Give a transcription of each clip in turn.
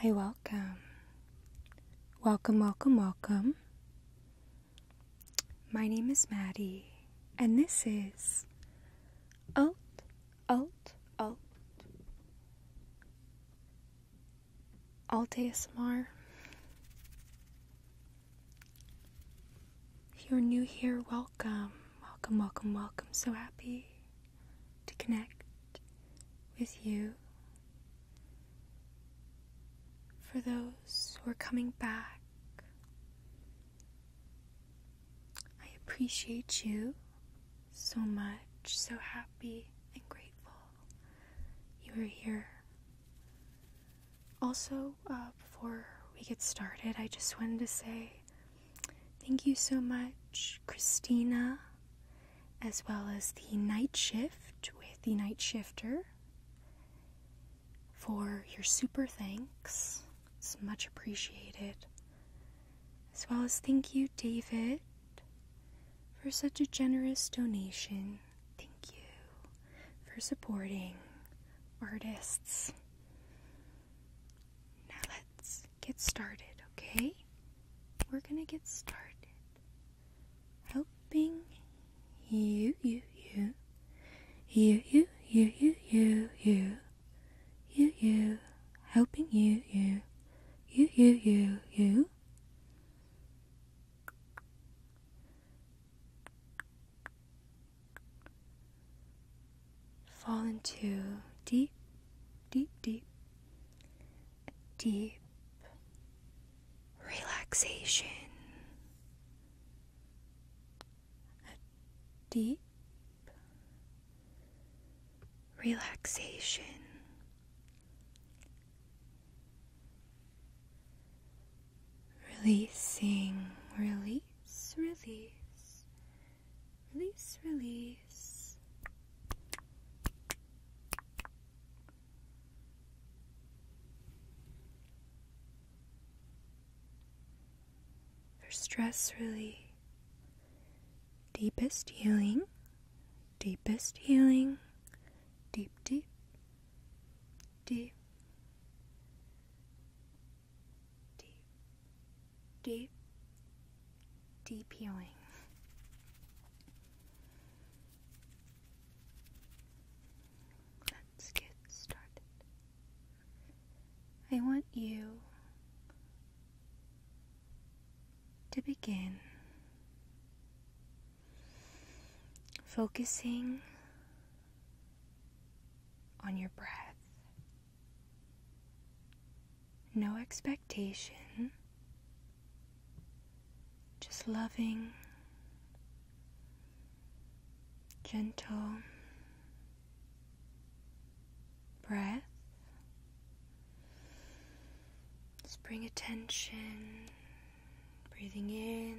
Hi, welcome. Welcome, welcome, welcome. My name is Maddie, and this is Alt, Alt, Alt, Alt ASMR. If you're new here, welcome welcome, welcome, welcome. So happy to connect with you. For those who are coming back, I appreciate you so much. So happy and grateful you are here. Also, uh, before we get started, I just wanted to say thank you so much, Christina, as well as the night shift with the night shifter, for your super thanks. It's much appreciated. As well as thank you, David, for such a generous donation. Thank you for supporting artists. Now let's get started, okay? We're gonna get started. Helping you, you, you, you, you, you, you, you, you, you, you, helping you, you, you, you, you, you. Fall into deep, deep, deep, deep relaxation. A deep relaxation. Releasing, release, release, Release, release. For stress relief, deepest healing, deepest healing, deep, deep, deep, deep, deep, deep healing. Let's get started. I want you to begin focusing on your breath. No expectation, just loving, gentle breath. Just bring attention, breathing in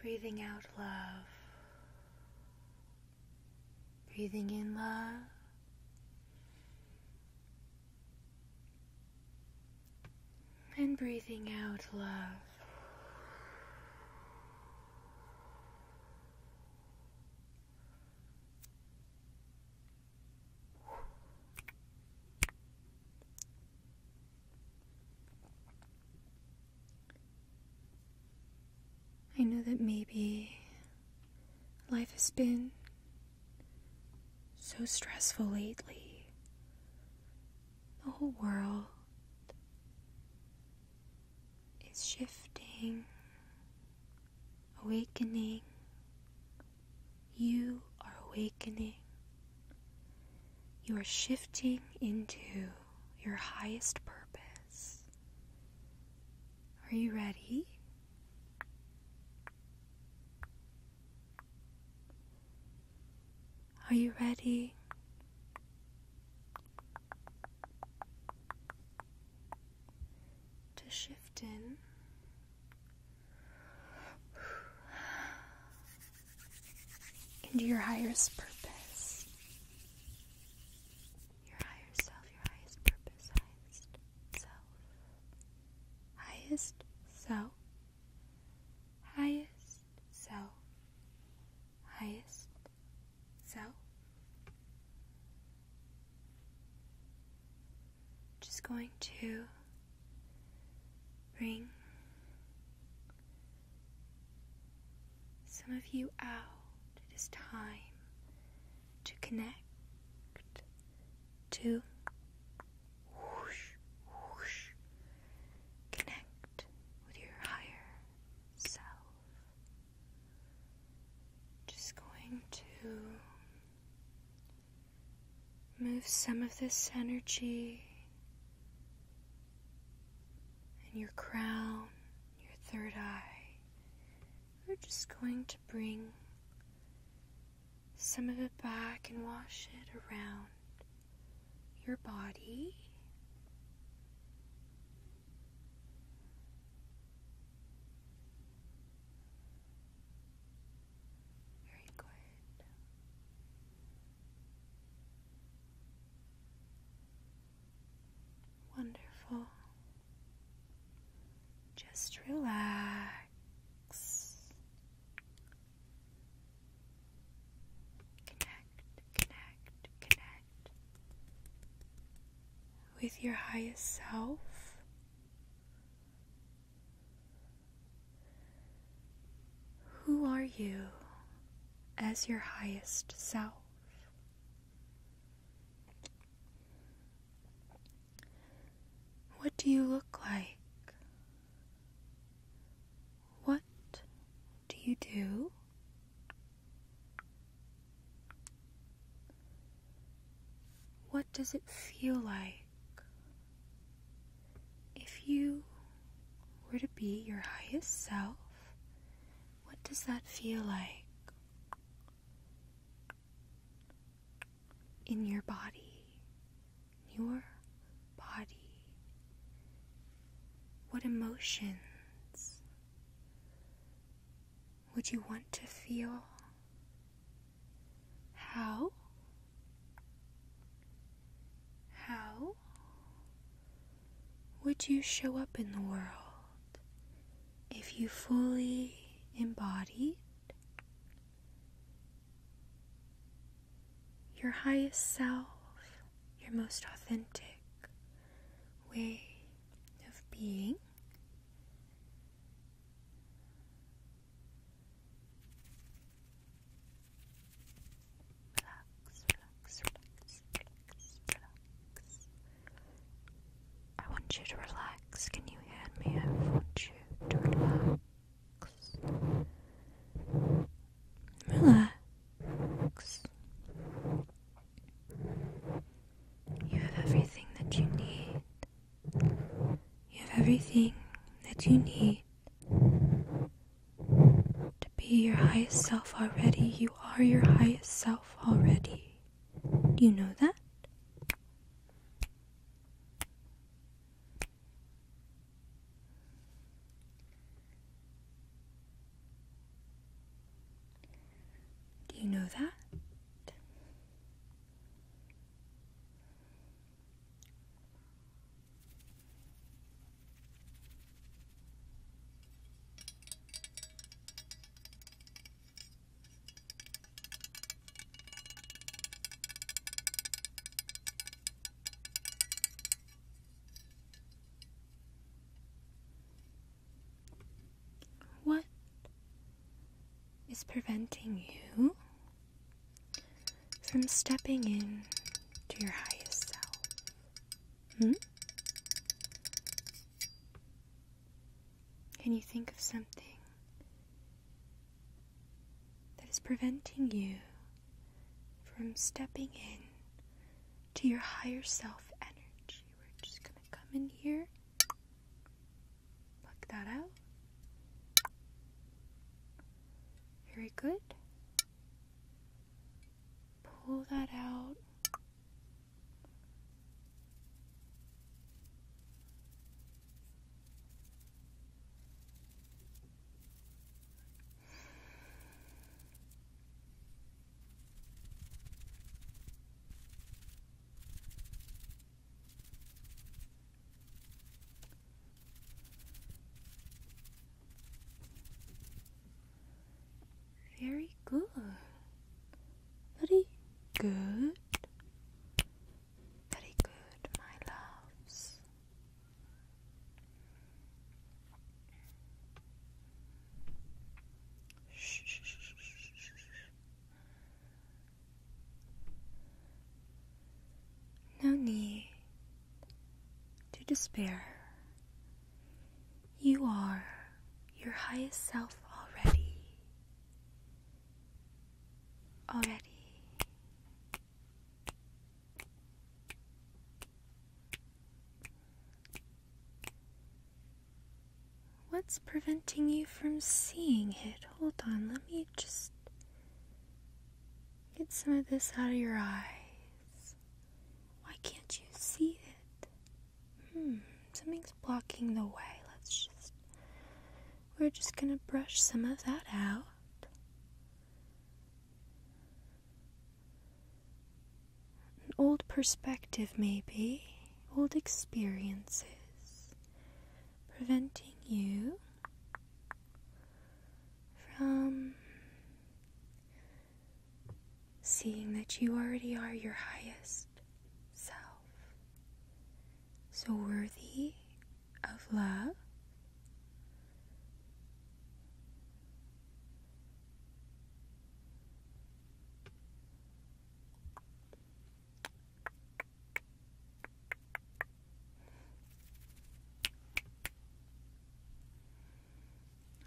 Breathing out love. Breathing in love. And breathing out love. I know that maybe life has been so stressful lately. The whole world is shifting, awakening, you are awakening. You are shifting into your highest purpose. Are you ready? Are you ready? To shift in into your highest purpose. Your higher self, your highest purpose, Highest self. Highest self. Highest self. Just going to Bring some of you out. It is time to connect to whoosh, whoosh, connect with your higher self. Just going to Move some of this energy in your crown, your third eye. We're just going to bring some of it back and wash it around your body. Very good. Wonderful. Just relax. Connect, connect, connect with your highest self. Who are you as your highest self? What do you look like? What do you do? What does it feel like if you were to be your highest self, what does that feel like in your body? Your body. What emotions would you want to feel? How? How would you show up in the world if you fully embodied your highest self, your most authentic way of being? Relax, relax, relax, relax, I want you to relax. Can you hear me? I want you to relax. Relax. You have everything that you need. You have everything that you need to be your highest self already, you are your highest self already. you know that? Do you know that? What is preventing you from stepping in to your highest self. Hmm? Can you think of something that is preventing you from stepping in to your higher self energy? We're just going to come in here, pluck that out. Very good. Pull that out. Very good. Very good. Very good, my loves. Shh, no need to despair. You are your highest self already. Already. What's preventing you from seeing it? Hold on, let me just Get some of this out of your eyes. Why can't you see it? Hmm, something's blocking the way. Let's just. We're just gonna brush some of that out. An old perspective, maybe. Old experiences. Preventing you from seeing that you already are your highest self, so worthy of love.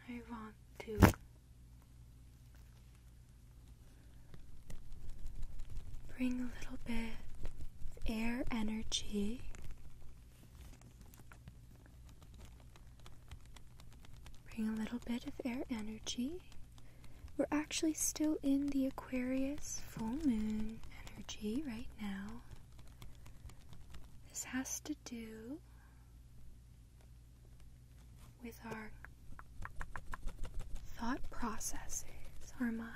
I want to bring a little bit of air energy bring a little bit of air energy we're actually still in the aquarius full moon energy right now. This has to do with our thought processes, our mind.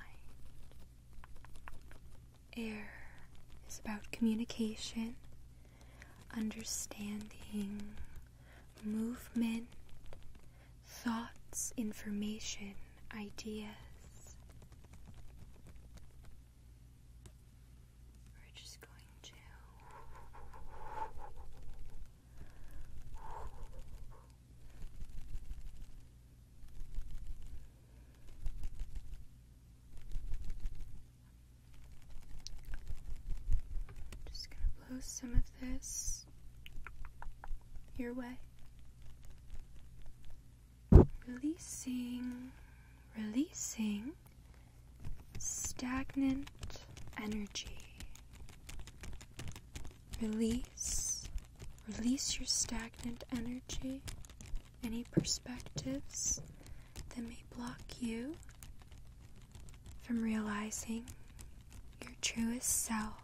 Air is about communication, understanding, movement, thoughts, information, ideas. We're just going to just going to blow some of this your way. Releasing, releasing stagnant energy. Release, release your stagnant energy, any perspectives that may block you from realizing your truest self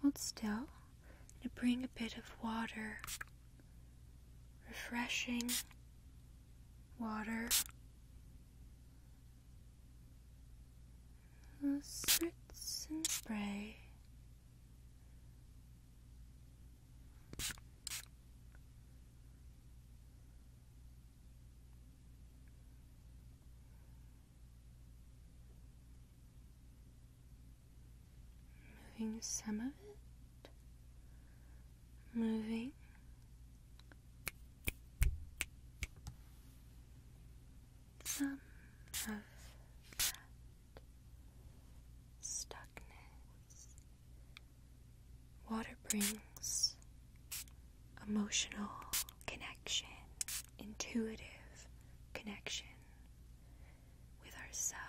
Hold still to bring a bit of water, refreshing water. we spritz and spray. Moving some of it, moving. Some of that stuckness. Water brings emotional connection, intuitive connection with ourselves.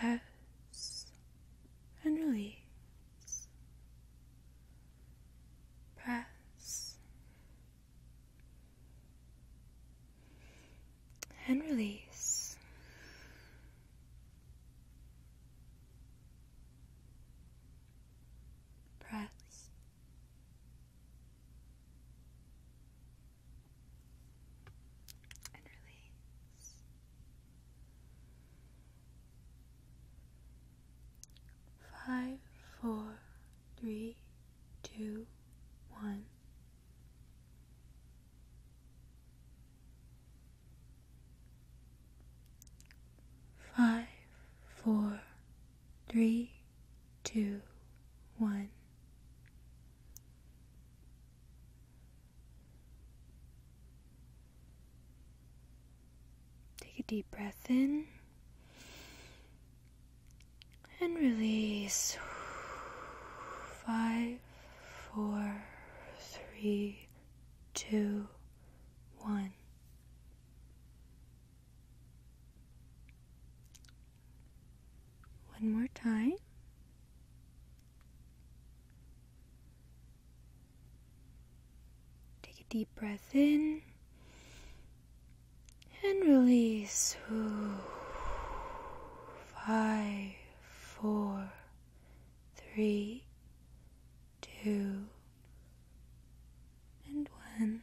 Press and release. Press and release. Press. And release. Five, four, three, two, one. Five, four, three, two, one. Take a deep breath in and release. Five, four, three, two, one. One more time. Take a deep breath in and release. Five, four, three, two, and one.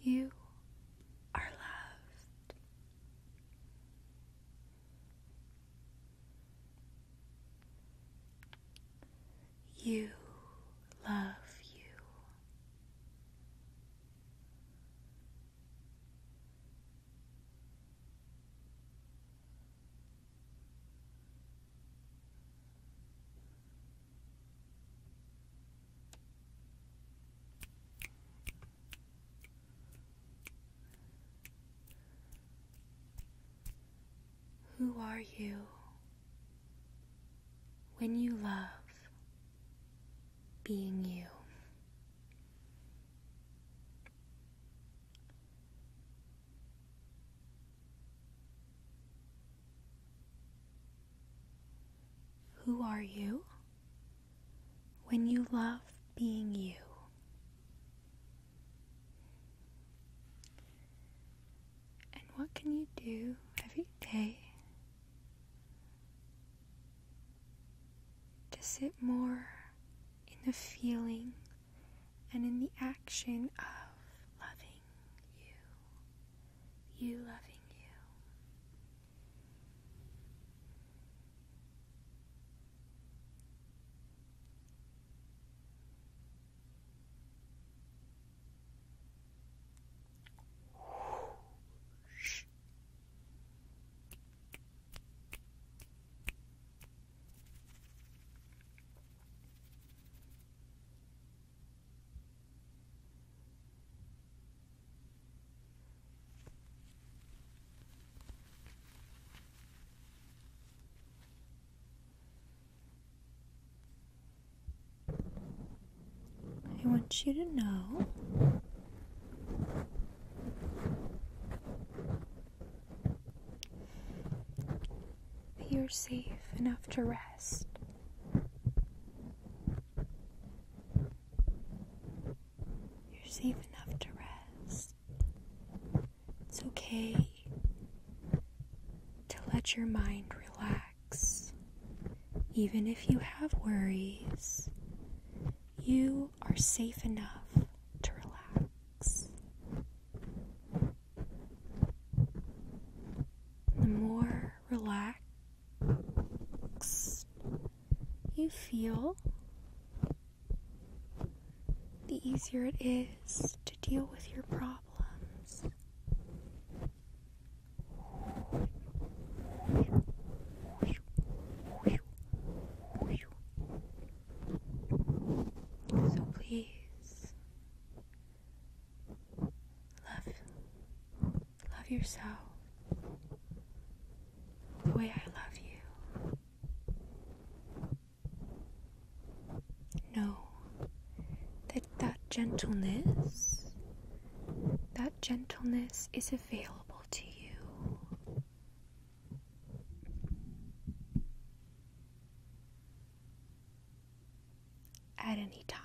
You are loved. You love you. Who are you when you love being you? Who are you? When you love being you. And what can you do every day to sit more in the feeling and in the action of loving you? you loving you. I want you to know you're safe enough to rest. You're safe enough to rest. It's okay to let your mind relax. Even if you have worries, you are safe enough to relax. The more relaxed, you feel, the easier it is to deal with your problems. So please love Love yourself the way I love you. Know that that gentleness, that gentleness is available to you at any time.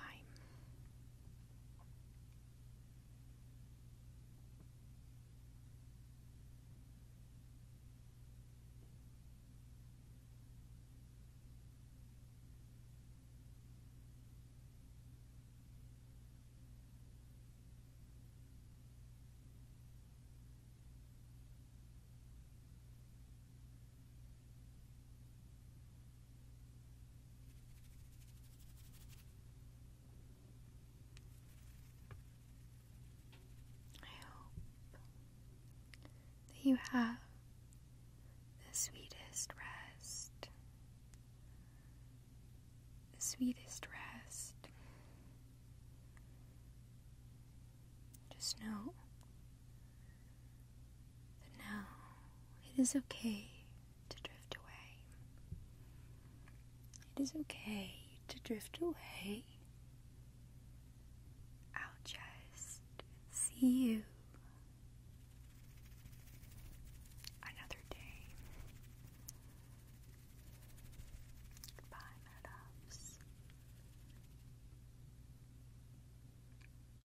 I hope that you have the sweetest rest, the sweetest rest. Just know but now it is okay to drift away. It is okay to drift away. I'll just see you another day. Goodbye, my loves.